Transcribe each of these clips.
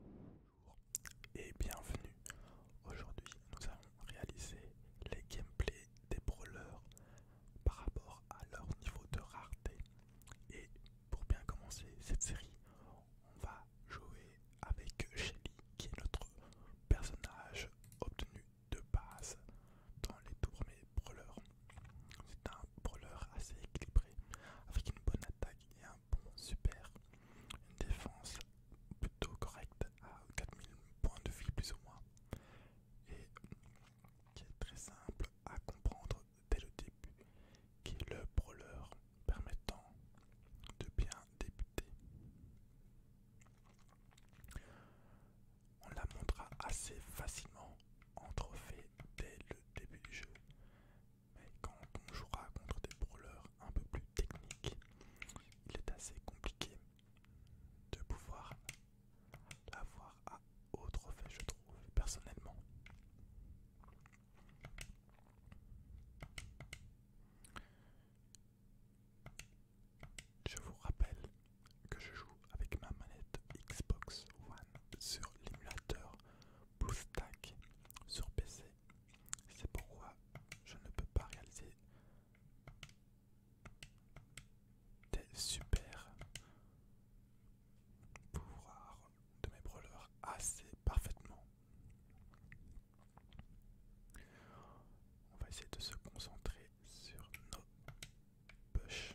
Bonjour et bienvenue. Aujourd'hui, nous allons réaliser les gameplays des brawlers par rapport à leur niveau de rareté. Et pour bien commencer cette série, on va jouer avec Shelly qui est notre personnage obtenu de base dans les tout brawlers. C'est un brawler assez équilibré avec une bonne attaque et un super, une défense plutôt correcte à 4000 points de vie plus ou moins et qui est très simple à comprendre dès le début, qui est le brawler permettant de bien débuter. On la montrera assez facilement en trophée dès le début du jeu mais quand on jouera contre des brawlers un peu plus techniques, il est assez compliqué de pouvoir l'avoir à autre fait, je trouve, personnellement. Je vous rappelle que je joue avec ma manette Xbox One sur l'émulateur stack sur PC. C'est pourquoi je ne peux pas réaliser des super pouvoirs de mes brawlers assez parfaitement. On va essayer de se concentrer sur nos push.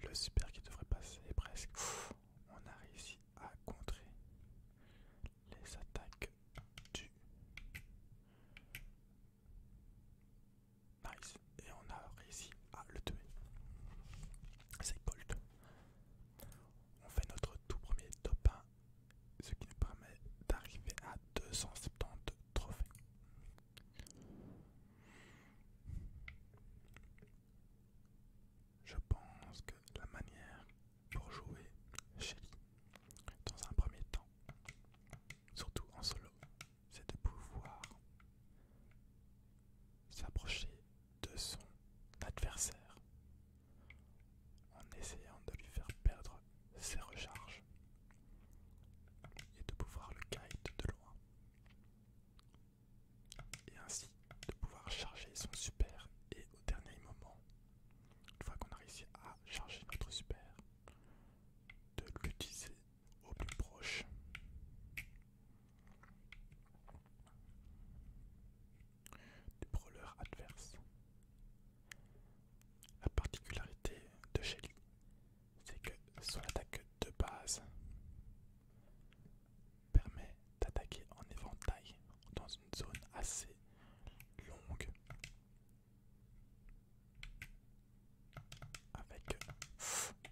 Et le super qui devrait passer presque. On a réussi à contrer les attaques du Nice. Et on a réussi à le tuer. C'est gold. On fait notre tout premier top 1, ce qui nous permet d'arriver à 270 trophées. Je pense que la manière pour jouer chez lui dans un premier temps, surtout en solo, c'est de pouvoir s'approcher de son adversaire en essayant de lui faire perdre ses recharges et de pouvoir le kite de loin. Et ainsi de pouvoir charger son super et au dernier moment, une fois qu'on a réussi à charger notre super, de l'utiliser au plus proche. Du brawler adverse. La particularité de Shelly c'est que son attaque de base permet d'attaquer en éventail dans une zone assez longue avec hmm,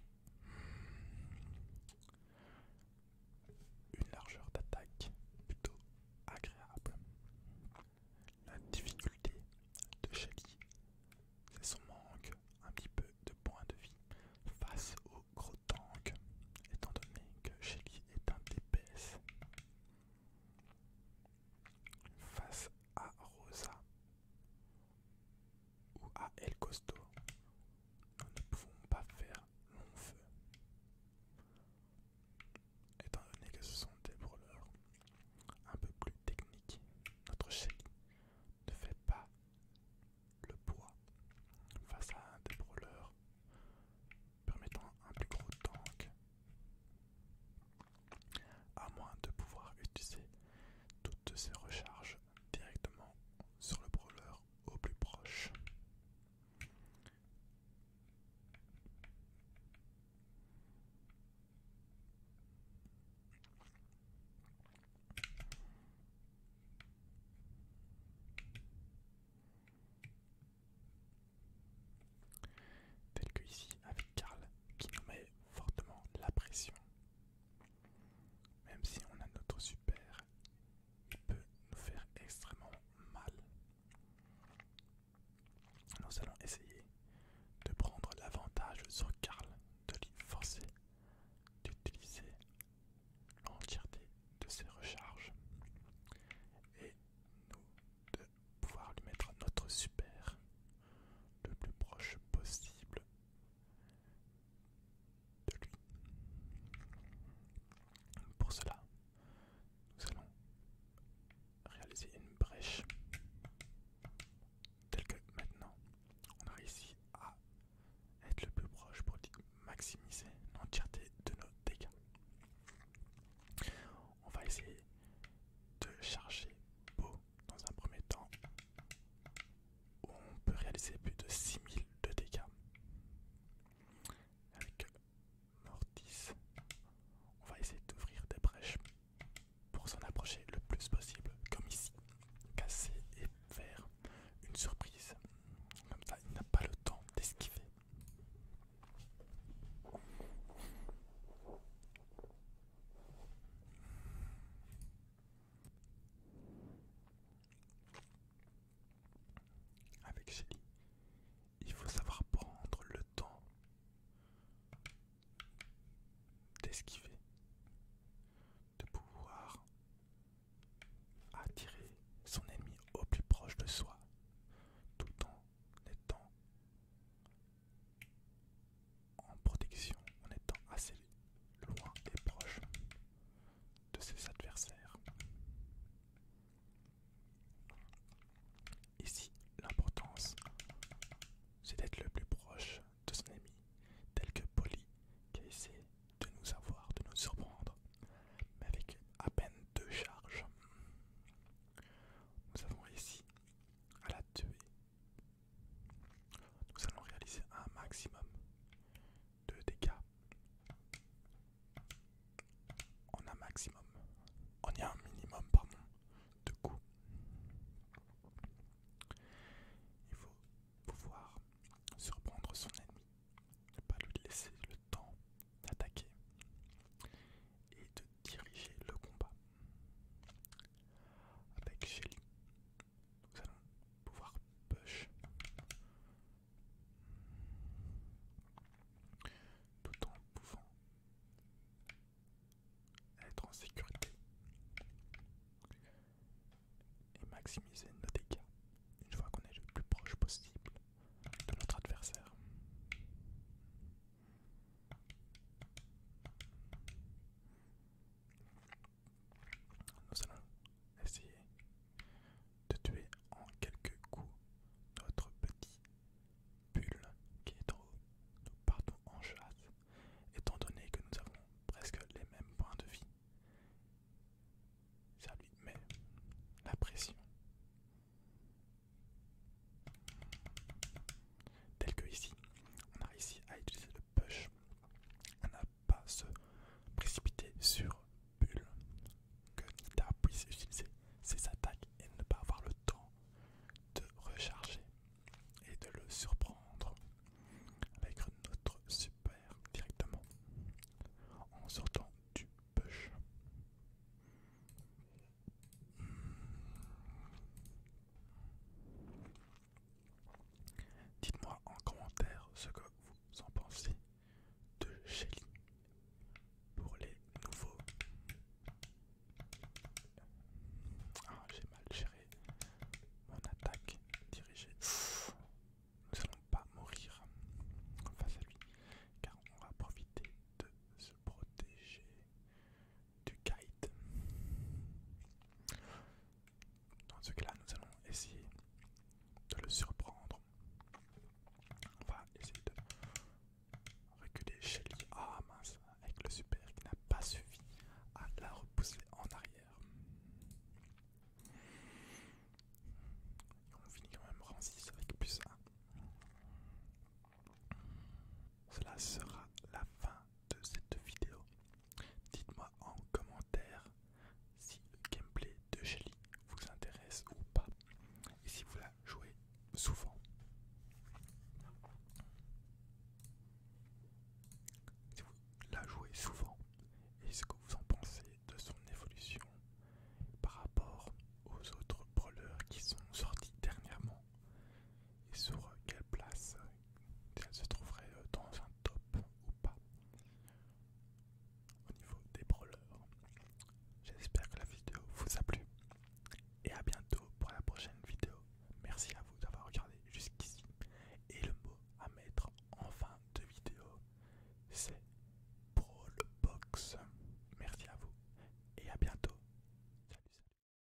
une largeur d'attaque plutôt agréable. La difficulté de Shelly, c'est son manque un petit peu de points de vie face au gros tank, étant donné que Shelly est un DPS. Face à Rosa ou à El Costo, nous ne pouvons pas faire long feu étant donné que ce sont des brawlers un peu plus techniques, notre shake ne fait pas le poids face à des brawlers permettant un plus gros tank, à moins de pouvoir utiliser toutes ces recharges directement sur le brawler au plus proche. Tel que ici avec Karl qui nous met fortement la pression. Même si on a notre super, il peut nous faire extrêmement mal. Nous allons essayer de prendre l'avantage sur Karl de lui forcer d'utiliser l'entièreté de ses recharges et nous de pouvoir lui mettre notre super le plus proche possible de lui. Pour cela, nous allons réaliser une brèche telle que maintenant on a réussi à être le plus proche pour maximiser l'entièreté de nos dégâts. On va essayer de charger beau dans un premier temps où on peut réaliser plus de 6000 de dégâts mortis. On va essayer d'ouvrir des brèches pour s'en approcher le plus possible, comme ici. Casser et faire une surprise. Comme ça, il n'a pas le temps d'esquiver avec Shelly, il faut savoir prendre le temps d'esquiver, de pouvoir attirer son ennemi au plus proche de soi, tout en étant en protection, en étant assez loin et proche de ses adversaires. Ici, l'importance, c'est d'être le plus proche de son ami, tel que Polly, qui a essayé de nous avoir, de nous surprendre, mais avec à peine deux charges. Nous avons réussi à la tuer. Nous allons réaliser un maximum de dégâts en un maximum on y a un minimum pardon de coups il faut pouvoir surprendre son ennemi ne pas lui laisser le temps d'attaquer et de diriger le combat avec Shelly nous allons pouvoir push tout en pouvant être en sécurité et maximiser nos dégâts une fois qu'on est le plus proche possible de notre adversaire. Nous allons essayer de tuer en quelques coups notre petit bulle qui est en haut. Nous partons en chasse, étant donné que nous avons presque les mêmes points de vie. Ça lui met la pression. Tel que ici, on a réussi à utiliser le push pas se précipiter sur Bull, que Nita puisse utiliser ses attaques et ne pas avoir le temps de recharger et de le surprendre avec notre super directement en sortant du push. Dites-moi en commentaire ce que vous en pensez de Shelly pour les nouveaux. Ah, j'ai mal géré mon attaque dirigée. Nous allons pas mourir face à lui, car on va profiter de se protéger du guide. Dans ce cas-là, nous allons essayer de le surprendre. On va essayer de reculer chez lui. Ah mince, avec le super qui n'a pas suffi à la repousser en arrière. on finit quand même rang 6 avec plus 1. Cela sera la fin de cette vidéo. Dites-moi en commentaire si le gameplay de Shelly vous intéresse ou pas et si vous la jouez souvent. Si vous la jouez souvent et ce que vous en pensez de son évolution par rapport aux autres brawlers qui sont sortis dernièrement et sur quelle place si elle se trouverait euh, dans un top ou pas au niveau des brawlers. J'espère que la vidéo vous a plu et à bientôt pour la prochaine vidéo. Merci à vous d'avoir regardé jusqu'ici. Et le mot à mettre en fin de vidéo, c'est Brawl Box. Merci à vous et à bientôt. Salut, salut.